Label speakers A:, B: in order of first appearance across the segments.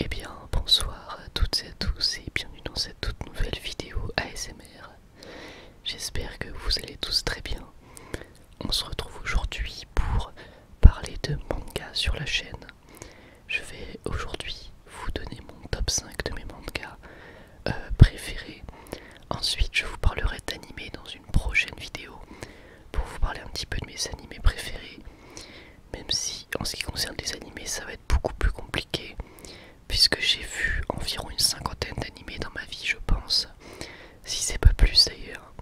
A: Eh bien, bonsoir à toutes et à tous et bienvenue dans cette toute nouvelle vidéo ASMR. J'espère que vous allez tous très bien. On se retrouve aujourd'hui pour parler de manga sur la chaîne. Je vais aujourd'hui vous donner mon top 5 de mes mangas euh, préférés. Ensuite, je vous parlerai d'animés dans une prochaine vidéo pour vous parler un petit peu de mes animés préférés. Même si en ce qui concerne les animés, ça va être beaucoup plus compliqué puisque j'ai vu environ une cinquantaine d'animés dans ma vie, je pense si c'est pas plus d'ailleurs.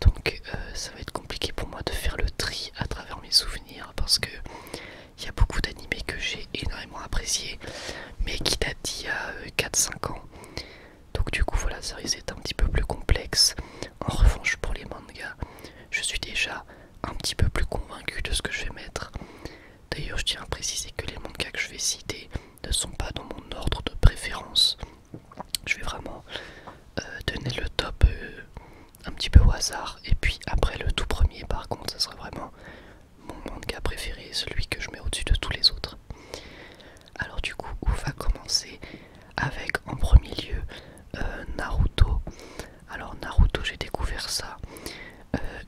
A: Donc euh, ça va être compliqué pour moi de faire le tri à travers mes souvenirs parce que il y a beaucoup d'animés que j'ai énormément appréciés mais qui datent d'il y a 4-5 euh, ans. Donc du coup voilà ça risque un petit peu plus complexe. En revanche pour les mangas, je suis déjà un petit peu plus convaincu de ce que je vais mettre. D'ailleurs je tiens à préciser que les mangas que je vais citer ne sont pas dans mon ordre de préférence. Je vais vraiment euh, donner le top euh, un petit peu au hasard. Et puis après le tout premier, par contre, ce sera vraiment mon manga préféré, celui que je mets au-dessus de tous les autres. Alors du coup, on va commencer avec en premier lieu euh, Naruto. Alors Naruto, j'ai découvert ça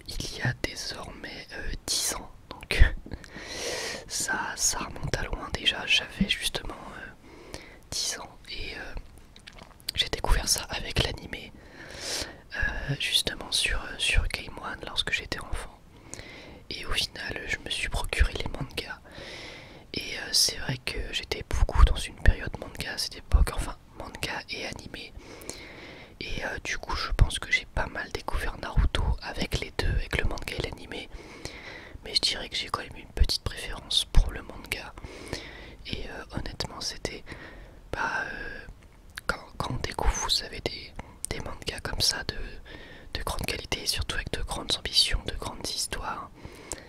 A: il y a désormais 10 ans. Donc ça, ça remonte à loin déjà. J'avais justement 10 euh, ans et euh, j'ai découvert ça avec l'anime euh, justement sur, sur Game One lorsque j'étais enfant. Et au final, je me suis procuré les mangas. Et c'est vrai que j'étais beaucoup dans une période manga à cette époque, enfin manga et animé. Et euh, du coup, je pense que j'ai pas mal découvert Naruto avec les deux, avec le manga et l'animé. Mais je dirais que j'ai quand même une petite préférence pour le manga. Et euh, honnêtement, c'était. pas bah, euh, quand, quand on découvre, vous savez, des, des mangas comme ça de, de grande qualité, et surtout avec de grandes ambitions, de grandes histoires,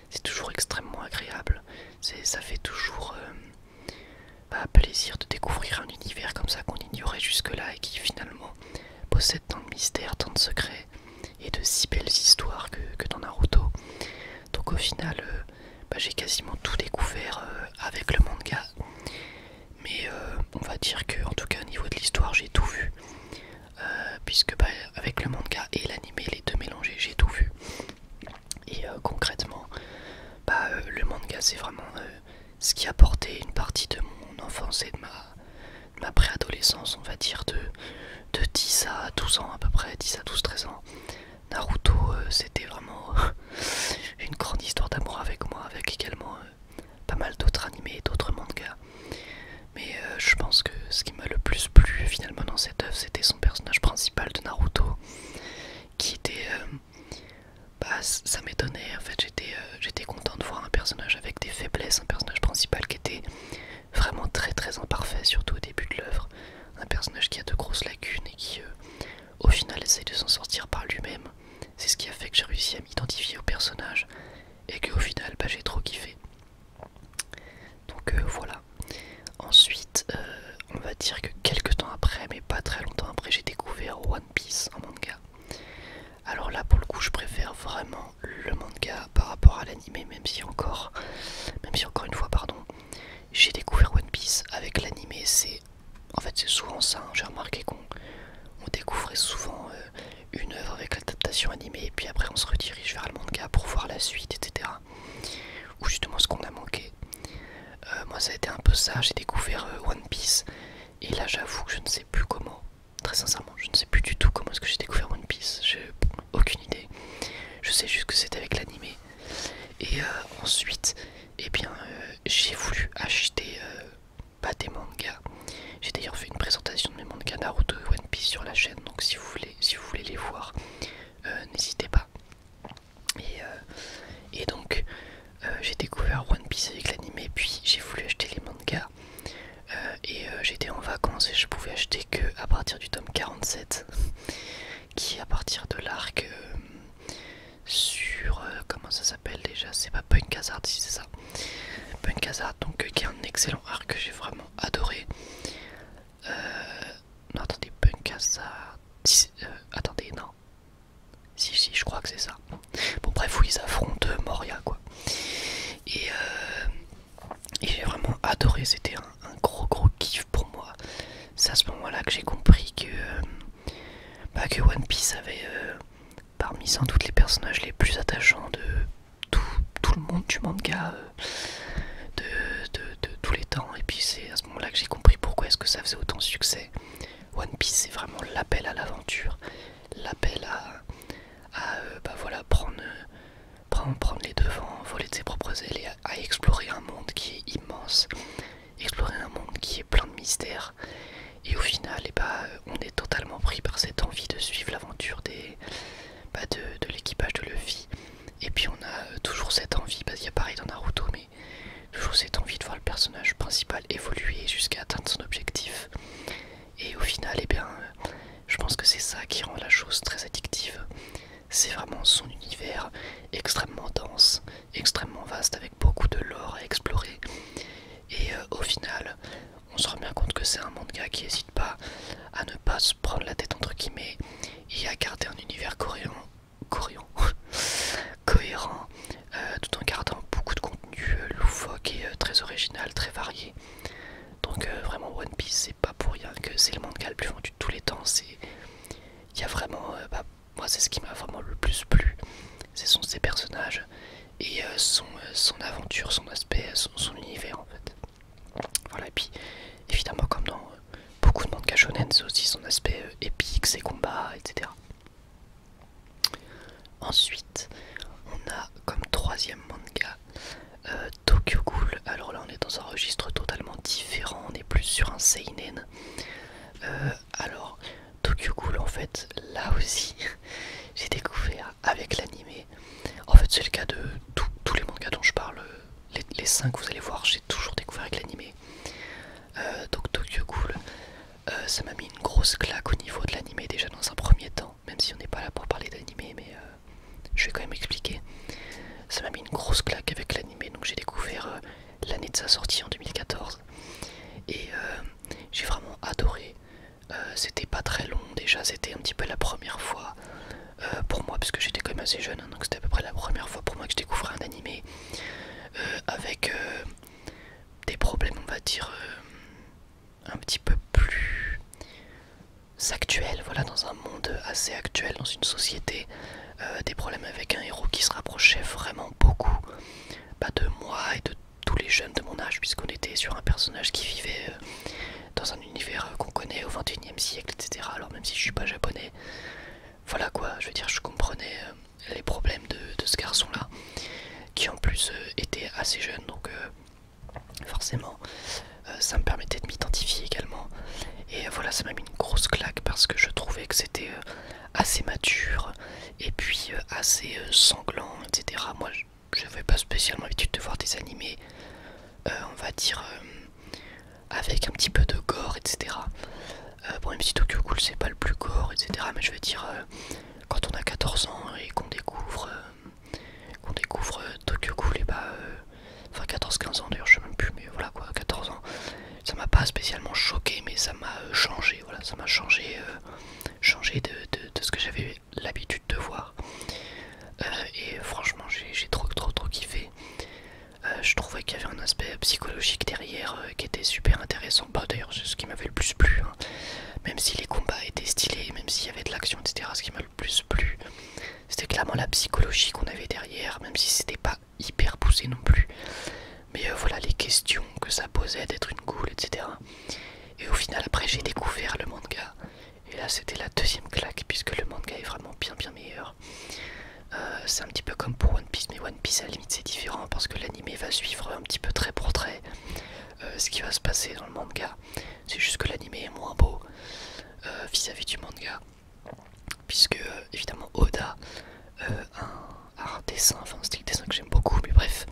A: c'est toujours extrêmement agréable. Ça fait toujours plaisir de découvrir un univers comme ça qu'on ignorait jusque-là et qui finalement possède tant de mystères, tant de secrets et de si belles histoires que, dans Naruto. Donc au final, euh, bah, j'ai quasiment tout découvert euh, avec le manga. Mais euh, on va dire que, en tout cas au niveau de l'histoire, j'ai tout vu. puisque bah, avec le manga et l'anime, les deux mélangés, j'ai tout vu. Et concrètement, bah, le manga c'est vraiment ce qui a porté une partie de mon enfance et de ma, ma préadolescence, on va dire, de, de 10 à 12 ans à peu près, 10 à 12, 13 ans. Naruto, euh, c'était vraiment une grande histoire d'amour avec moi, avec également euh, pas mal d'autres animés d'autres mangas. Mais euh, je pense que ce qui m'a le plus plu finalement dans cette œuvre, c'était son personnage principal de Naruto, qui était bah, ça m'étonnait. En fait, j'étais euh, content de voir un personnage avec des faiblesses, un personnage principal qui était vraiment très très imparfait, surtout au début de l'œuvre. Un personnage qui a de grosses lacunes et qui, euh, au final, essaie de s'en sortir par lui-même. C'est ce qui a fait que j'ai réussi à m'identifier au personnage et que au final, bah, j'ai trop kiffé. Donc euh, voilà. Ensuite, on va dire que quelques temps après, pas très longtemps après j'ai découvert One Piece en manga. Alors là pour le coup je préfère vraiment le manga par rapport à l'anime même si encore même si encore une fois pardon j'ai découvert One Piece avec l'anime c'est en fait c'est souvent ça hein. j'ai remarqué qu'on découvrait souvent euh, une œuvre avec l'adaptation animée et puis après on se redirige vers le manga pour voir la suite etc ou justement ce qu'on a manqué euh, moi ça a été un peu ça, j'ai découvert euh, One Piece et là j'avoue que je ne sais plus comment, très sincèrement, je ne sais plus du tout comment est-ce que j'ai découvert One Piece, j'ai aucune idée. Je sais juste que c'était avec l'animé. Et euh, ensuite, eh bien j'ai voulu acheter pas des mangas. J'ai d'ailleurs fait une présentation de mes mangas Naruto et One Piece sur la chaîne, donc si vous voulez, les voir, n'hésitez pas. Euh, et, donc, euh, j'ai découvert One Piece avec l'anime, puis j'ai voulu acheter les mangas. Euh, et j'étais en vacances et je pouvais acheter que à partir du tome 47, qui est à partir de l'arc sur. comment ça s'appelle déjà C'est pas Punk Hazard, si c'est ça. Punk Hazard, donc qui est un excellent arc que j'ai vraiment adoré. non, attendez, Punk Hazard. attendez, non. Si, si, je crois que c'est ça. Bon, bref, où ils affrontent euh, Moria, quoi. Euh, et, j'ai vraiment adoré, c'était un, gros gros kiff pour moi. C'est à ce moment-là que j'ai compris que, euh, bah, One Piece avait parmi sans doute les personnages les plus attachants de tout, le monde du manga de, de tous les temps. Et puis c'est à ce moment-là que j'ai compris pourquoi est-ce que ça faisait autant de succès. One Piece c'est vraiment l'appel à l'aventure, l'appel à, euh, bah voilà, prendre, prendre, prendre les devants, voler de ses propres ailes et à, explorer un monde qui est immense, explorer un monde qui est plein de mystères. Et au final, eh bah, on est totalement pris par cette envie de suivre l'aventure des bah, de, l'équipage de Luffy. Et puis on a euh, toujours cette envie, parce qu'il y a pareil dans Naruto, je vous ai envie de voir le personnage principal évoluer jusqu'à atteindre son objectif. Et au final, eh bien, je pense que c'est ça qui rend la chose très addictive. C'est vraiment son univers extrêmement dense, extrêmement vaste, avec beaucoup de lore à explorer. Et euh, au final, on se rend bien compte que c'est un manga qui n'hésite pas à ne pas se prendre la tête entre guillemets et à garder un univers coréen cohérent, cohérent euh, tout en gardant beaucoup de contenu euh, loufoque et euh, très original, très varié. Donc vraiment One Piece c'est pas pour rien que c'est le manga le plus vendu de tous les temps. C'est il y a vraiment bah, moi c'est ce qui m'a vraiment le plus plu, ce sont ses personnages et son, aventure, son aspect, son, univers en fait. Voilà puis évidemment comme dans Beaucoup de manga shonen, c'est aussi son aspect euh, épique, ses combats, etc. Ensuite, on a comme troisième manga euh, Tokyo Ghoul. Alors là, on est dans un registre totalement différent, on est plus sur un seinen. Euh, alors, Tokyo Ghoul, en fait, là aussi, j'ai découvert avec l'anime. En fait, c'est le cas de tous les mangas dont je parle. Les 5, vous allez voir, j'ai toujours découvert avec l'anime. Euh, donc Tokyo Ghoul, euh, ça m'a mis une grosse claque au niveau de l'animé déjà dans un premier temps, même si on n'est pas là pour parler d'anime mais euh, je vais quand même expliquer. Ça m'a mis une grosse claque avec l'animé, donc j'ai découvert l'année de sa sortie en 2014 et j'ai vraiment adoré. c'était pas très long déjà, c'était un petit peu la première fois pour moi, parce que j'étais quand même assez jeune, hein, donc c'était à peu près la première fois pour moi que je découvrais un animé. Euh, avec euh, des problèmes on va dire euh, un petit peu plus actuels, voilà, dans un monde assez actuel, dans une société, des problèmes avec un héros qui se rapprochait vraiment beaucoup pas bah, de moi et de tous les jeunes de mon âge, puisqu'on était sur un personnage qui vivait dans un univers qu'on connaît au 21e siècle, etc. Alors même si je suis pas japonais, voilà quoi, je veux dire, je comprenais les problèmes de, ce garçon-là, qui en plus euh, était assez jeune, donc euh, forcément euh, ça me permettait de m'identifier également. Et voilà, ça m'a mis une grosse claque parce que je trouvais que c'était assez mature et puis assez sanglant, etc. Moi, je pas spécialement l'habitude de voir des animés, on va dire, avec un petit peu de gore, etc. Euh, bon, même si Tokyo Cool c'est pas le plus gore, etc. Mais je veux dire, euh, quand on a 14 ans et qu'on découvre, euh, qu'on découvre Tokyo Cool, et bah, enfin 14-15 ans d'ailleurs, je sais même plus, mais voilà quoi, 14 ans, ça m'a pas spécialement choqué, mais ça m'a changé, voilà, ça m'a changé, changé de, ce que j'avais l'habitude de voir. et franchement, j'ai trop, trop, trop kiffé. Euh, je trouvais qu'il y avait un aspect psychologique derrière euh, qui était super intéressant. Bah, D'ailleurs, c'est ce qui m'avait le plus plu. Hein. Même si les combats étaient stylés, même s'il y avait de l'action, etc., ce qui m'a le plus plu, c'était clairement la psychologie qu'on avait derrière, même si c'était pas hyper poussé non plus. Mais euh, voilà les questions que ça posait d'être une goule, etc. Et au final, après, j'ai découvert le manga. Et là, c'était la deuxième claque, puisque le manga est vraiment bien, bien meilleur. Euh, c'est un petit peu comme pour One Piece, mais One Piece à la limite c'est différent parce que l'anime va suivre un petit peu très pour trait euh, ce qui va se passer dans le manga. C'est juste que l'anime est moins beau euh, vis-à-vis du manga, puisque évidemment Oda un, dessin, enfin un style dessin que j'aime beaucoup, mais bref,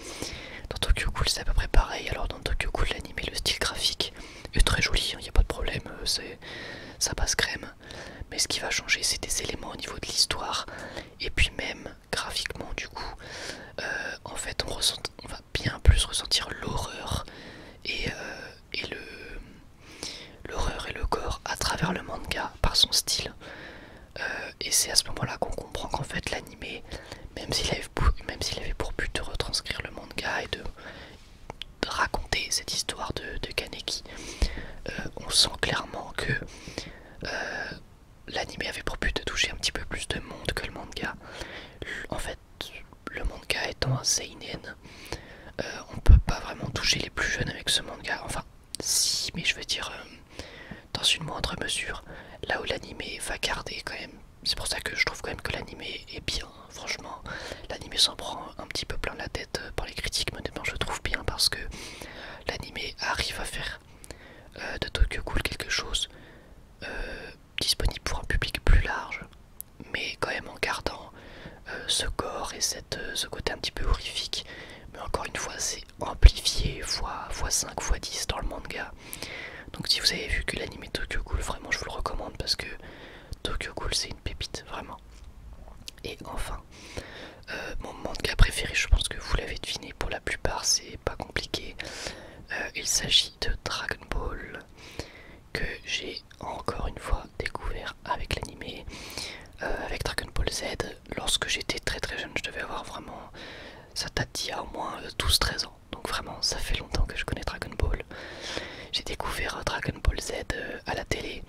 A: dans Tokyo Cool c'est à peu près pareil. Alors dans Tokyo Cool l'anime, le style graphique est très joli, il hein, n'y a pas de problème, ça passe crème mais ce qui va changer c'est des éléments au niveau de l'histoire et puis même graphiquement du coup euh, en fait on, va bien plus ressentir l'horreur et, euh, le l'horreur et le corps à travers le manga par son style euh, et c'est à ce moment là qu'on comprend qu'en fait l'anime même s'il avait, avait pour but de retranscrire le manga et de raconter cette histoire de, Kaneki, euh, on sent clairement que euh, l'anime avait pour but de toucher un petit peu plus de monde que le manga. En fait, le manga étant un seinen, euh, on peut pas vraiment toucher les plus jeunes avec ce manga. Enfin, si, mais je veux dire dans une moindre mesure. Là où l'anime va garder quand même. C'est pour ça que je trouve quand même que l'anime est bien. Franchement, l'anime s'en prend un petit peu plein la tête euh, par les critiques, mais honnêtement, je trouve bien parce que l'animé arrive à faire euh, de Tokyo Ghoul quelque chose euh, disponible pour un public plus large, mais quand même en gardant ce corps et cette, ce côté un petit peu horrifique. Mais encore une fois, c'est amplifié x5, x, 5 x 10 dans le manga. Donc, si vous avez vu que l'anime Tokyo Ghoul, vraiment, je vous le recommande parce que Tokyo Ghoul, c'est une pépite, vraiment. Et enfin, euh, mon manga préféré, je pense que vous l'avez deviné pour la plupart, c'est pas compliqué. Euh, il s'agit de Dragon Ball que j'ai encore une fois découvert avec l'animé, euh, avec Dragon Ball Z. Lorsque j'étais très très jeune, je devais avoir vraiment. Ça date d'il y a au moins 12-13 ans, donc vraiment ça fait longtemps que je connais Dragon Ball. J'ai découvert Dragon Ball Z à la télé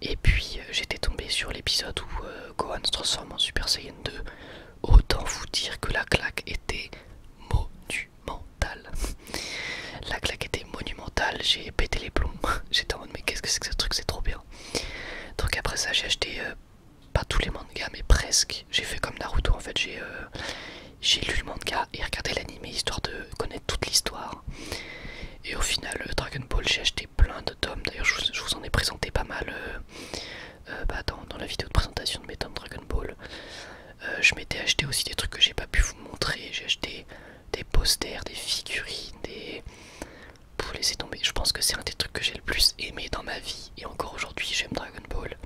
A: et puis euh, j'étais tombé sur l'épisode où euh, Gohan se transforme en Super Saiyan 2. Autant vous dire que la claque était monumentale. la claque était monumentale, j'ai pété les plombs. J'étais en mode mais qu'est-ce que c'est que ce truc, c'est trop bien. Donc après ça j'ai acheté euh, pas tous les mangas mais presque. J'ai fait comme Naruto en fait, j'ai lu le manga et regardé l'anime histoire de connaître toute l'histoire. Et au final, euh, Dragon Ball, j'ai acheté plein de tomes. D'ailleurs, je, vous en ai présenté pas mal euh, euh, bah, dans, la vidéo de présentation de mes tomes Dragon Ball. je m'étais acheté aussi des trucs que j'ai pas pu vous montrer. J'ai acheté des posters, des figurines, des. Pour laisser tomber, je pense que c'est un des trucs que j'ai le plus aimé dans ma vie. Et encore aujourd'hui, j'aime Dragon Ball.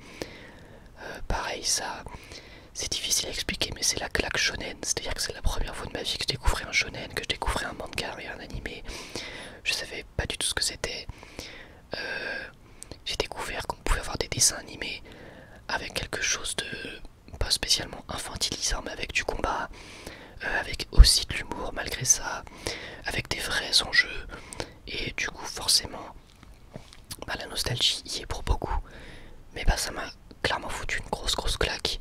A: pareil, ça. C'est difficile à expliquer, mais c'est la claque shonen. C'est-à-dire que c'est la première fois de ma vie que je découvrais un shonen, que je découvrais un manga et un animé. Je savais pas du tout ce que c'était. Euh, j'ai découvert qu'on pouvait avoir des dessins animés avec quelque chose de pas spécialement infantilisant, mais avec du combat, euh, avec aussi de l'humour malgré ça, avec des vrais enjeux. Et du coup, forcément, bah, la nostalgie y est pour beaucoup. Mais bah ça m'a clairement foutu une grosse grosse claque.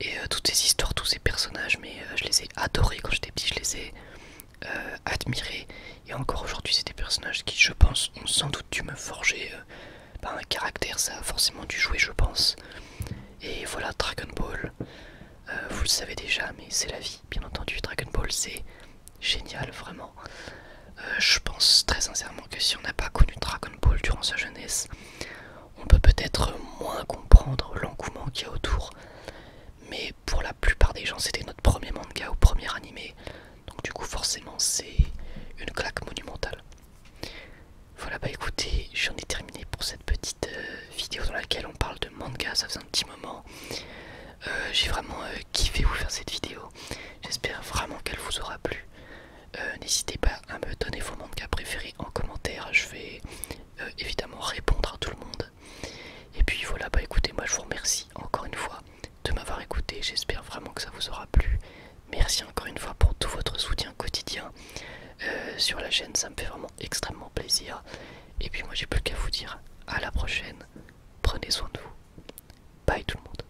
A: Et euh, toutes ces histoires, tous ces personnages, mais euh, je les ai adorés quand j'étais petit, je les ai euh, admirés. Et encore aujourd'hui, c'est des personnages qui, je pense, ont sans doute dû me forger par bah, un caractère, ça a forcément dû jouer, je pense. Et voilà, Dragon Ball, vous le savez déjà, mais c'est la vie, bien entendu. Dragon Ball, c'est génial, vraiment. Euh, je pense très sincèrement que si on n'a pas connu Dragon Ball durant sa jeunesse, on peut peut-être moins comprendre l'engouement qu'il y a autour. Mais pour la plupart des gens, c'était notre premier manga ou premier animé. Donc du coup, forcément, c'est une claque monumentale. Voilà, bah écoutez, j'en ai terminé pour cette petite euh, vidéo dans laquelle on parle de manga, ça faisait un petit moment. Euh, j'ai vraiment kiffé vous faire cette vidéo. J'espère vraiment qu'elle vous aura plu. Euh, n'hésitez pas à me donner vos mangas préférés en commentaire, je vais euh, évidemment répondre à tout le monde. Et puis voilà, bah écoutez, moi je vous remercie encore une fois de m'avoir écouté, j'espère vraiment que ça vous aura plu. Merci encore une fois pour tout votre soutien quotidien euh, sur la chaîne, ça me fait vraiment extrêmement plaisir. Et puis moi j'ai plus qu'à vous dire à la prochaine, prenez soin de vous. Bye tout le monde.